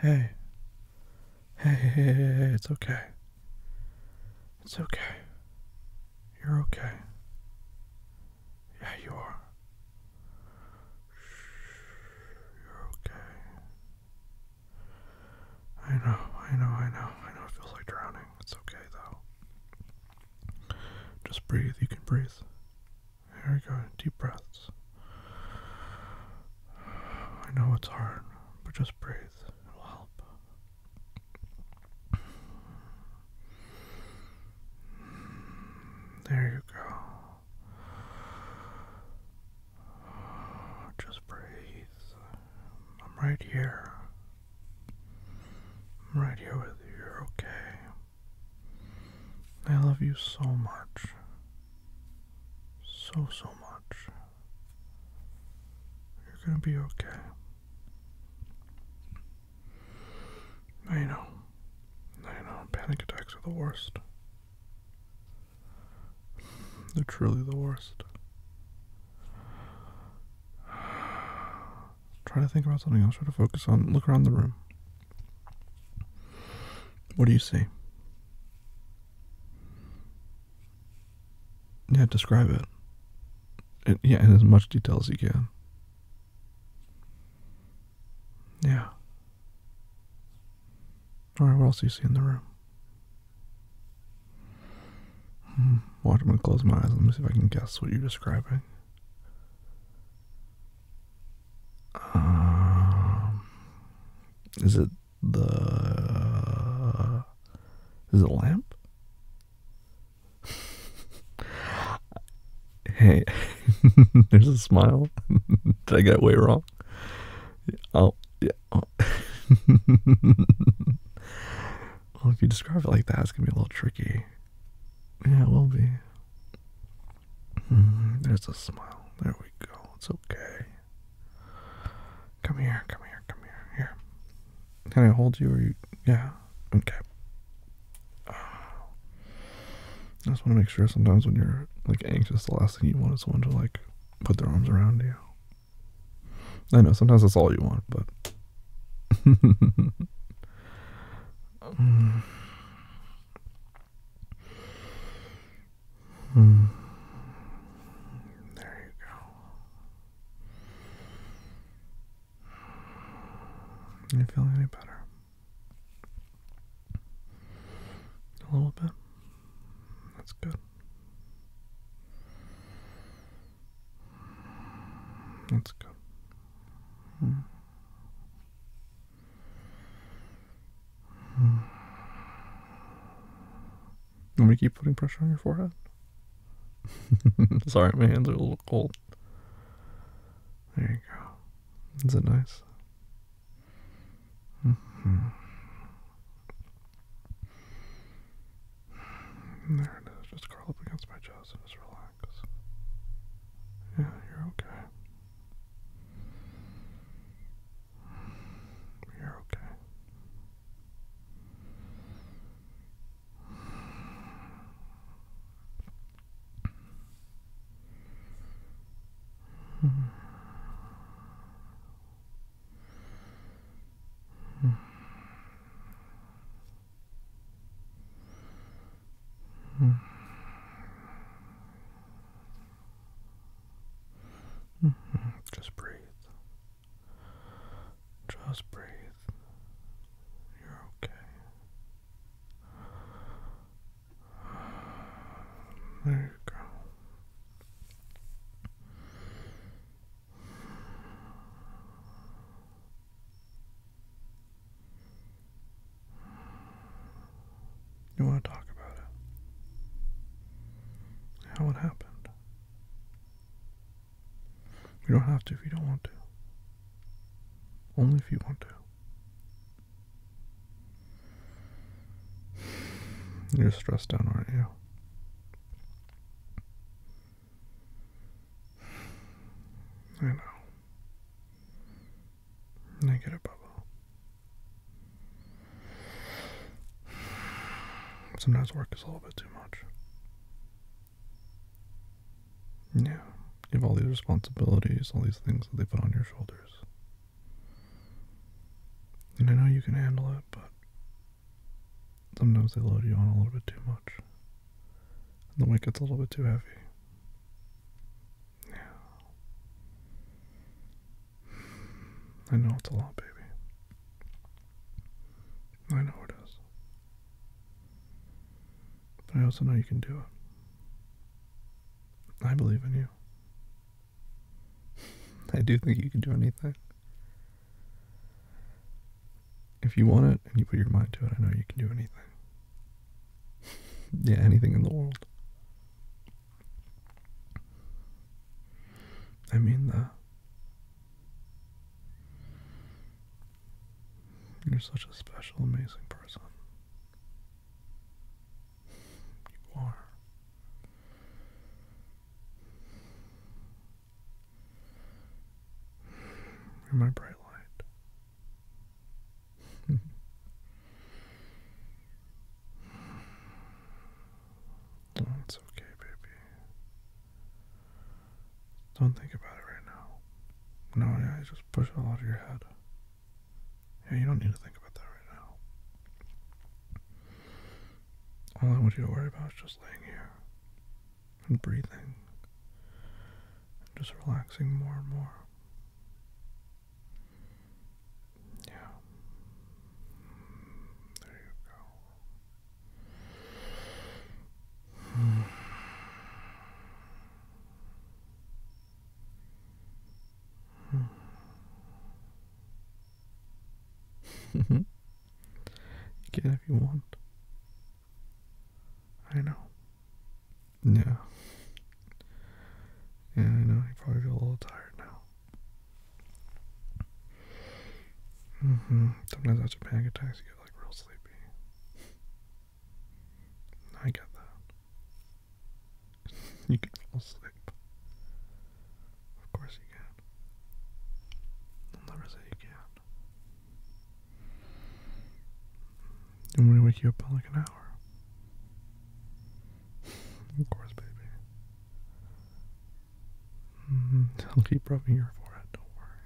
Hey. Hey, hey, hey, hey, it's okay. It's okay. You're okay. Yeah, you are. You're okay. I know, I know, I know, I know it feels like drowning. It's okay, though. Just breathe, you can breathe. There we go. Deep breaths. I know it's hard, but just breathe. It'll help. There you go. Just breathe. I'm right here. I'm right here with you. You're okay. I love you so much so, so much. You're gonna be okay. I know. I know. Panic attacks are the worst. They're truly the worst. Try to think about something else. Try to focus on. Look around the room. What do you see? Yeah, describe it. Yeah, in as much detail as you can. Yeah. All right, what else do you see in the room? Hmm, watch, I'm going to close my eyes. Let me see if I can guess what you're describing. Um, is it the is it lamp? hey, there's a smile. Did I get way wrong? Oh, yeah. well, if you describe it like that, it's gonna be a little tricky. Yeah, it will be. Mm-hmm. there's a smile. There we go. It's okay. Come here, come here, come here. Here. Can I hold you or you? Yeah. Okay. I just want to make sure sometimes when you're like anxious, the last thing you want is someone to like put their arms around you. I know sometimes that's all you want, but. Mm. Hmm. There you go. You feeling any better? A little bit. That's good. That's good. Hmm. Let me keep putting pressure on your forehead. Sorry, my hands are a little cold. There you go. Is it nice? Mm-hmm. There it is. Just curl up against my chest and just relax. Yeah, you're okay. You're okay. -hmm. -hmm. Just breathe. Just breathe. You're okay. There you go. You want to talk about it? How it happened? You don't have to if you don't want to. Only if you want to. You're stressed out, aren't you? I know. I get a bubble. Sometimes work is a little bit too much. Yeah. You have all these responsibilities, all these things that they put on your shoulders. And I know you can handle it, but sometimes they load you on a little bit too much. And the weight gets a little bit too heavy. Yeah. I know it's a lot, baby. I know it is. But I also know you can do it. I believe in you. I do think you can do anything. If you want it and you put your mind to it, I know you can do anything yeah, anything in the world. I mean that. You're such a special, amazing person. You are. You're my bright light it's okay, baby. Don't think about it right now. No, yeah, just push it all out of your head. Yeah, you don't need to think about that right now. All I want you to worry about is just laying here and breathing, and just relaxing more and more. Yeah. There you go. Hmm. you can if you want. I know. Yeah. Yeah, I know. You probably feel a little tired now. Mm-hmm. Sometimes after panic attacks, you get like real sleepy. I get that. you can fall asleep. Of course you can. I'll never say you can I'm gonna wake you up in like an hour. of course, baby. Mm-hmm. I'll keep rubbing your forehead, don't worry.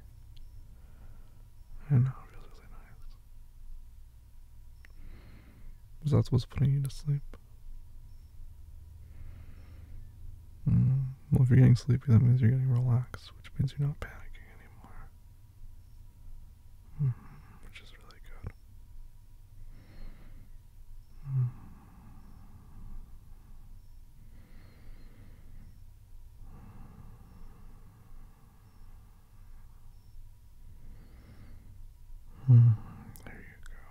I know, it feels really nice. Was that what's putting you to sleep? Mm. Well, if you're getting sleepy, that means you're getting relaxed, which means you're not panicking anymore. -hmm. Which is really good. Hmm. There you go. Hmm, there you go.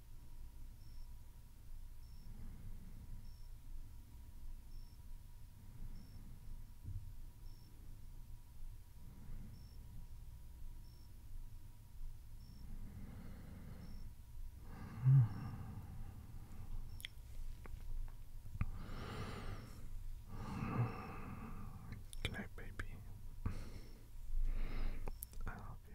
Good night, baby. I love you.